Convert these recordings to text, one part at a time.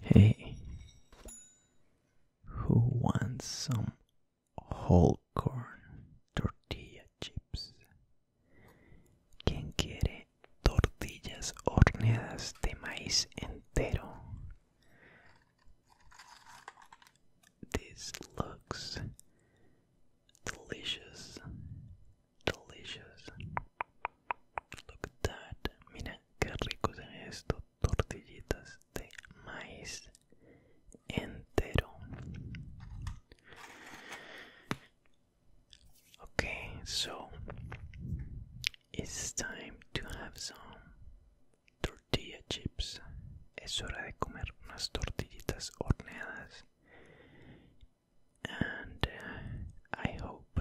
Hey, who wants some whole corn tortilla chips? Quien quiere tortillas horneadas de maíz entero. This looks delicious. Delicious. Look at that. Mira qué rico se esto. Tortillitas de maíz entero. Okay, so it's time to have some tortilla chips. Es hora de comer unas tortillitas horneadas. And uh, I hope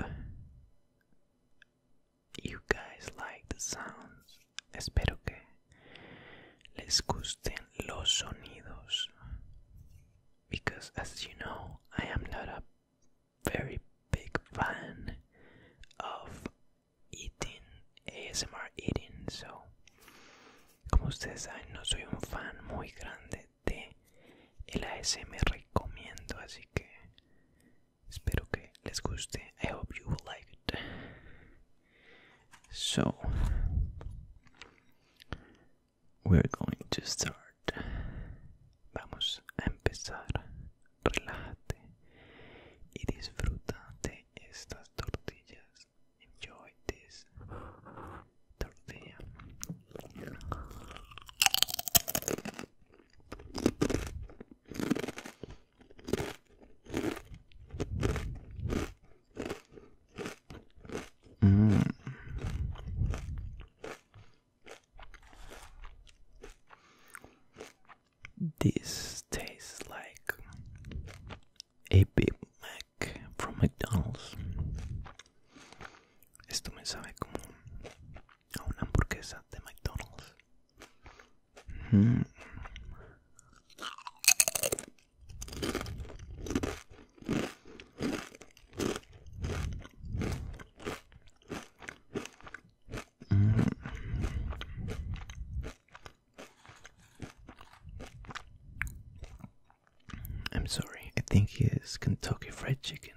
you guys like the sounds. Espero que les gusten los sonidos. Because as you know, I am not a very big fan of eating, ASMR eating, so como ustedes saben no soy un fan muy grande de el ASMR comiendo, así que espero que les guste. I hope you will like it. So we're going to start. Vamos a empezar. Relájate y disfruta de estas tortillas. Enjoy this tortilla. Mm. This tastes like a Big Mac from McDonald's. Esto me sabe como a una hamburguesa de McDonald's. Mm. Mm. I'm sorry, I think it's Kentucky Fried Chicken.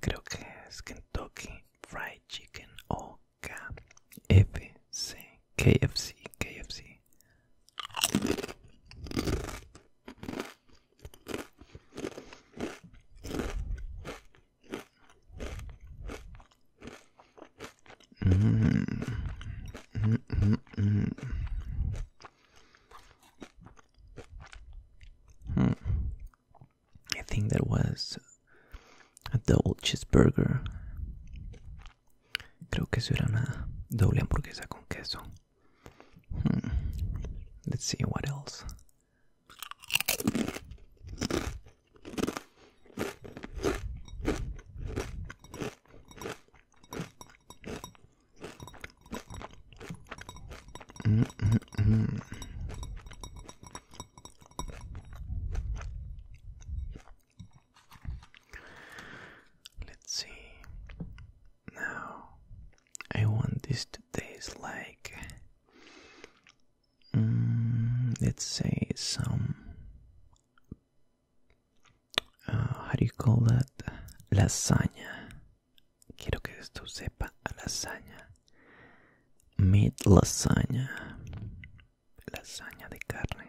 Creo que es Kentucky Fried Chicken o oh, KFC. KFC, KFC. Mm. Mm -mm Hmm. I think that was a double cheeseburger. Creo que eso una doble hamburguesa con queso. Hmm. Let's see what else. Mm Let's see. Now, I want this to taste like, mm, let's say, some. Uh, how do you call that? Lasaña. Quiero que esto sepa a lasaña. Meat lasaña. Lasaña de carne.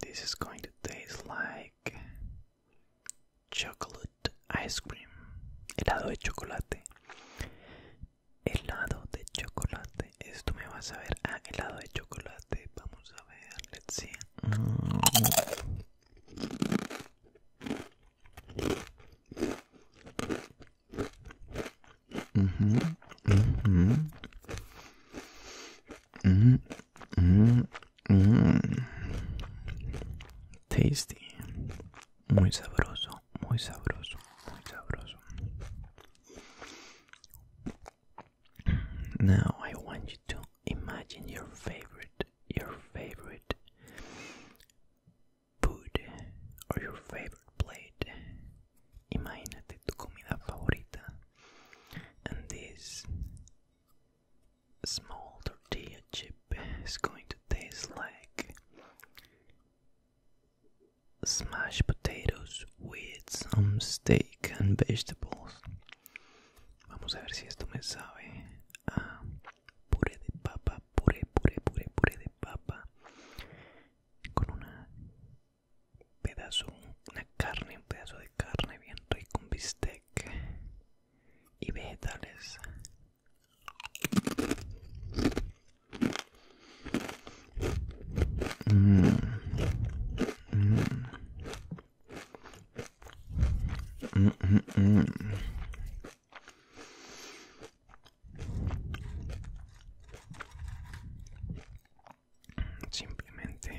This is going to taste like chocolate ice cream. Helado de chocolate. Helado de chocolate. Esto me vas a ver. helado de chocolate. Vamos a ver. Let's see. Mm. Mm -hmm. Mm -hmm. Mm, mm, mm. Tasty. Muy sabroso, muy sabroso, muy sabroso. Now I want you to imagine your favorite, your favorite food or your favorite plate Imagínate tu comida favorita and this small tortilla chip is going to taste like smashed potatoes with some steak and vegetables. Vamos a ver si esto me sabe a puré de papa, puré, puré, puré, puré de papa con una pedazo, una carne, un pedazo de carne bien rico, un bistec y vegetales. simplemente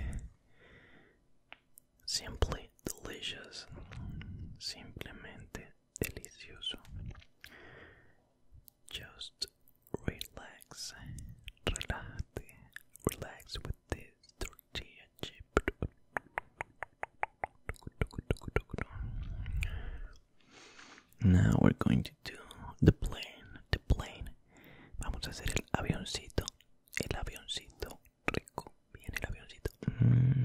simply delicious simplemente delicioso just relax relate relax with this tortilla chip now we're going to. the plane, the plane. Vamos a hacer el avioncito, el avioncito rico, bien el avioncito. Mm.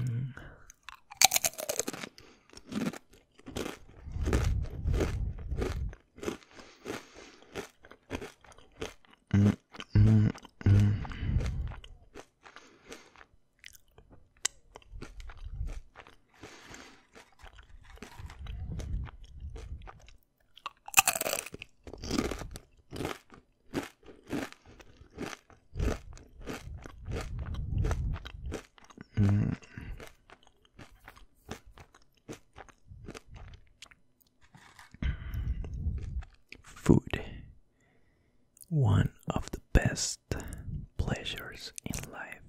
Food. One of the best pleasures in life.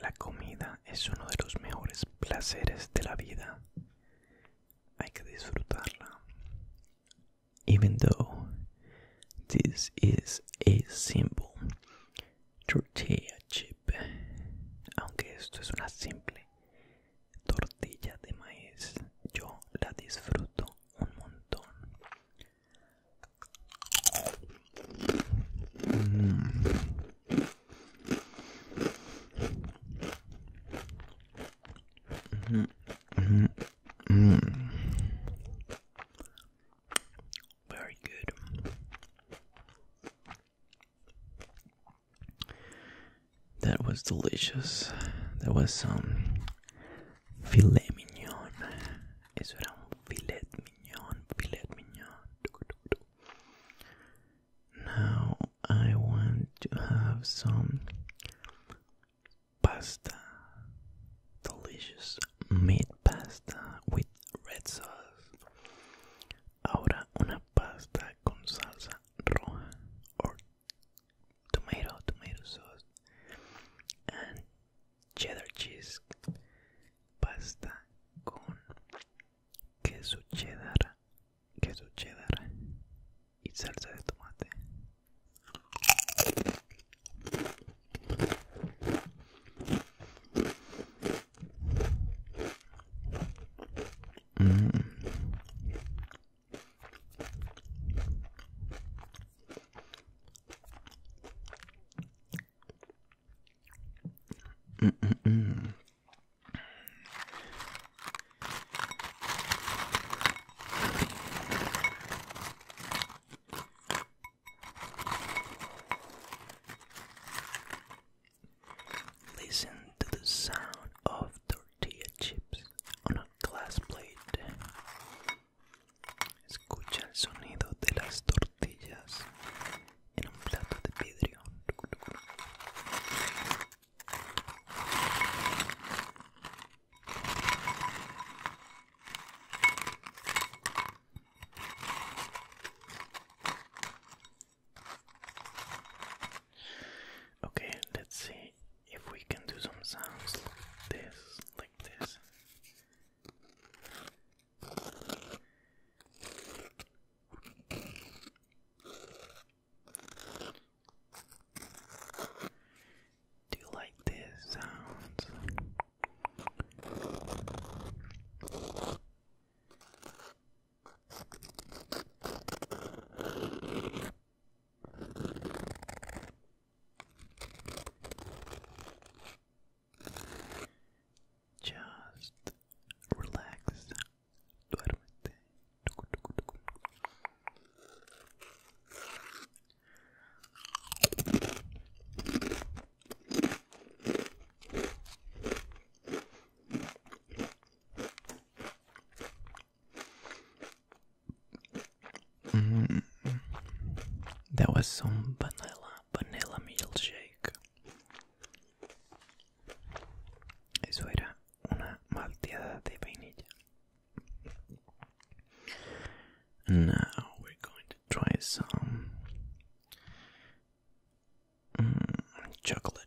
La comida es uno de los mejores placeres de la vida. Hay que disfrutarla. Even though this is a simple tortilla chip, aunque esto es una simple tortilla de maíz, yo la disfruto un montón. Mm. Very good. That was delicious. That was some filet mignon. Eso era un filet mignon, filet mignon. Now I want to have some pasta, delicious meat pasta with red sauce. Ahora una pasta con salsa roja or tomato, tomato sauce, and cheddar cheese pasta con queso cheddar, queso cheddar y salsa de tomate. Mm -mm Listen to the sound of tortilla chips on a glass plate. Okay, let's see if we can do some sounds like this, like this. Do you like this sounds? Just relax. Duérmete. Mm-hmm. That was some vanilla vanilla milkshake. Lake. una malteada de vainilla. Now we're going to try some mm, chocolate.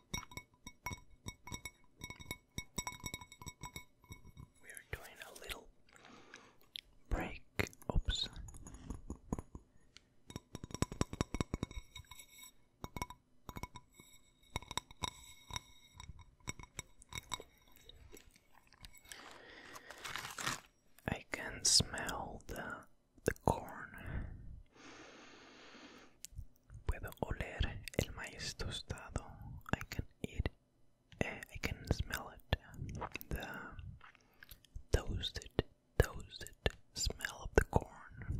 We're doing a little break. Oops. I can smell the the corn I can eat. smell it. The toasted, toasted smell of the corn.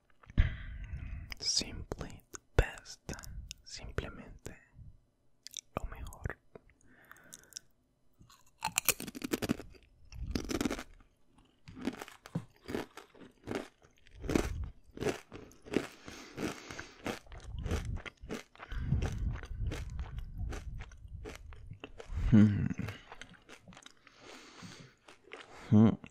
Simply the best. Simplemente lo mejor. Hmm. Hmm.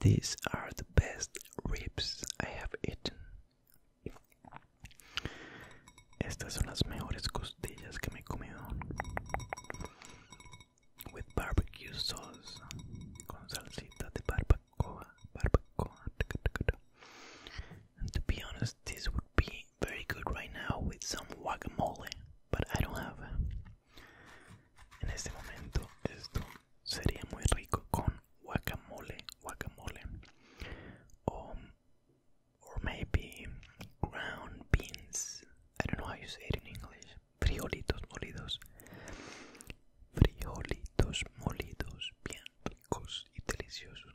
These are the best ribs I have eaten. Estas son las mejores costillas que me he With barbecue sauce, con salsita de barbacoa, And to be honest, this would be very good right now with some guacamole, but I don't have En este momento esto sería muy rico con guacamole, guacamole, o or maybe ground beans. I don't know how you say it in English. Frijolitos molidos, frijolitos molidos, bien ricos y deliciosos.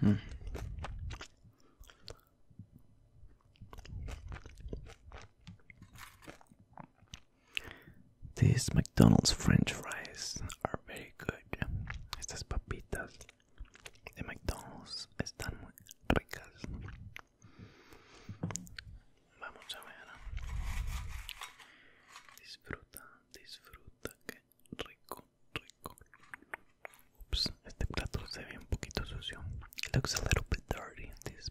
Hmm. These McDonald's French fries are very good. Estas papitas de McDonald's están muy ricas. Vamos a ver. Disfruta, disfruta, que rico, rico. Ups, este plato se ve un poquito sucio. looks a little dirty, this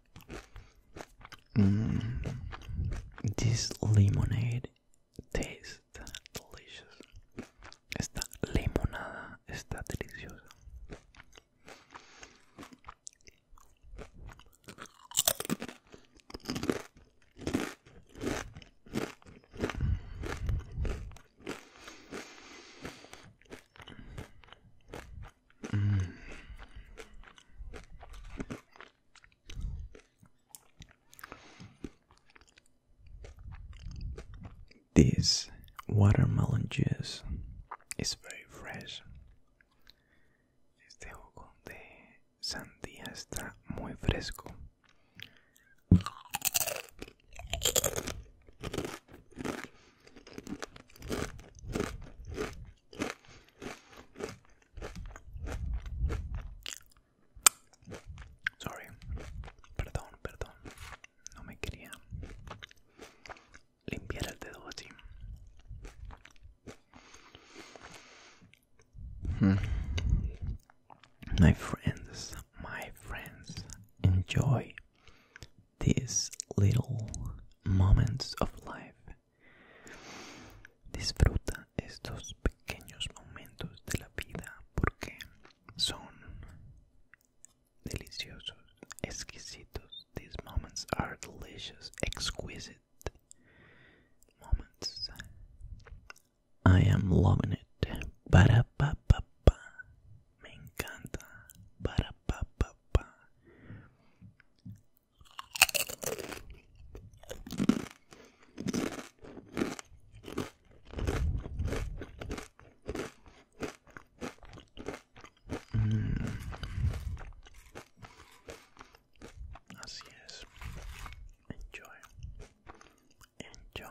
Mm. this lemonade tastes delicious. Esta limonada está deliciosa. Mm. This watermelon juice is very fresh. Este jugo de sandía está muy fresco. Sorry, perdón, perdón, no me quería limpiar el dedo así. Hmm. My friends, my friends, enjoy these little moments of life. Disfruta estos pequeños momentos de la vida porque son deliciosos, exquisitos. These moments are delicious, exquisite moments. I am loving it. Ba -da -ba -ba -ba. me encanta para papá. Mm. así es enjoy enjoy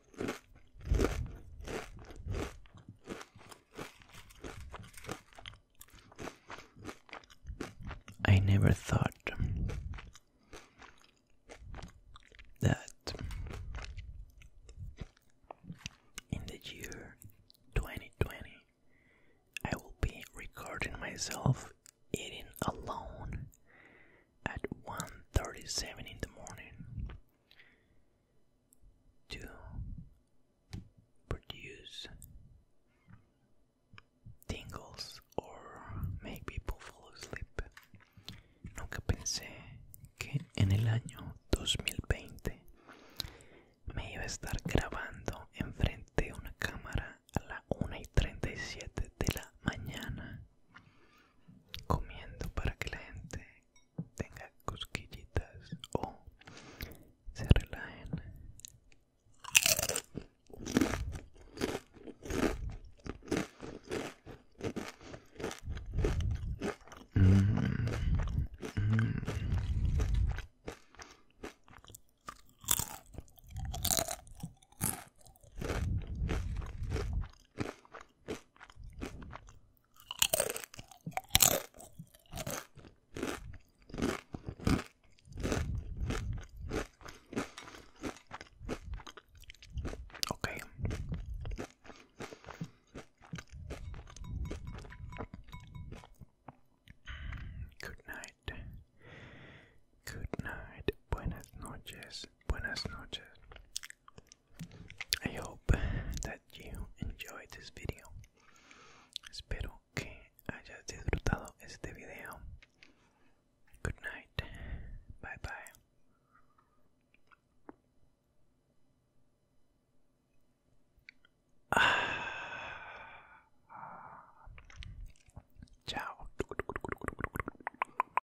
I never thought that in the year 2020 I will be recording myself eating alone at 1:37 in the morning to produce tingles or make people fall asleep. Nunca pensé que en el año 2020 me iba a estar grabando enfrente de una cámara a la 1 y 37 de la mañana comiendo para que la gente tenga cosquillitas o se relajen Okay. Good night. Good night. Buenas noches. Buenas noches. I hope that you enjoyed this video. Espero que hayas disfrutado este video. Good night. Bye bye. Ah. Ciao.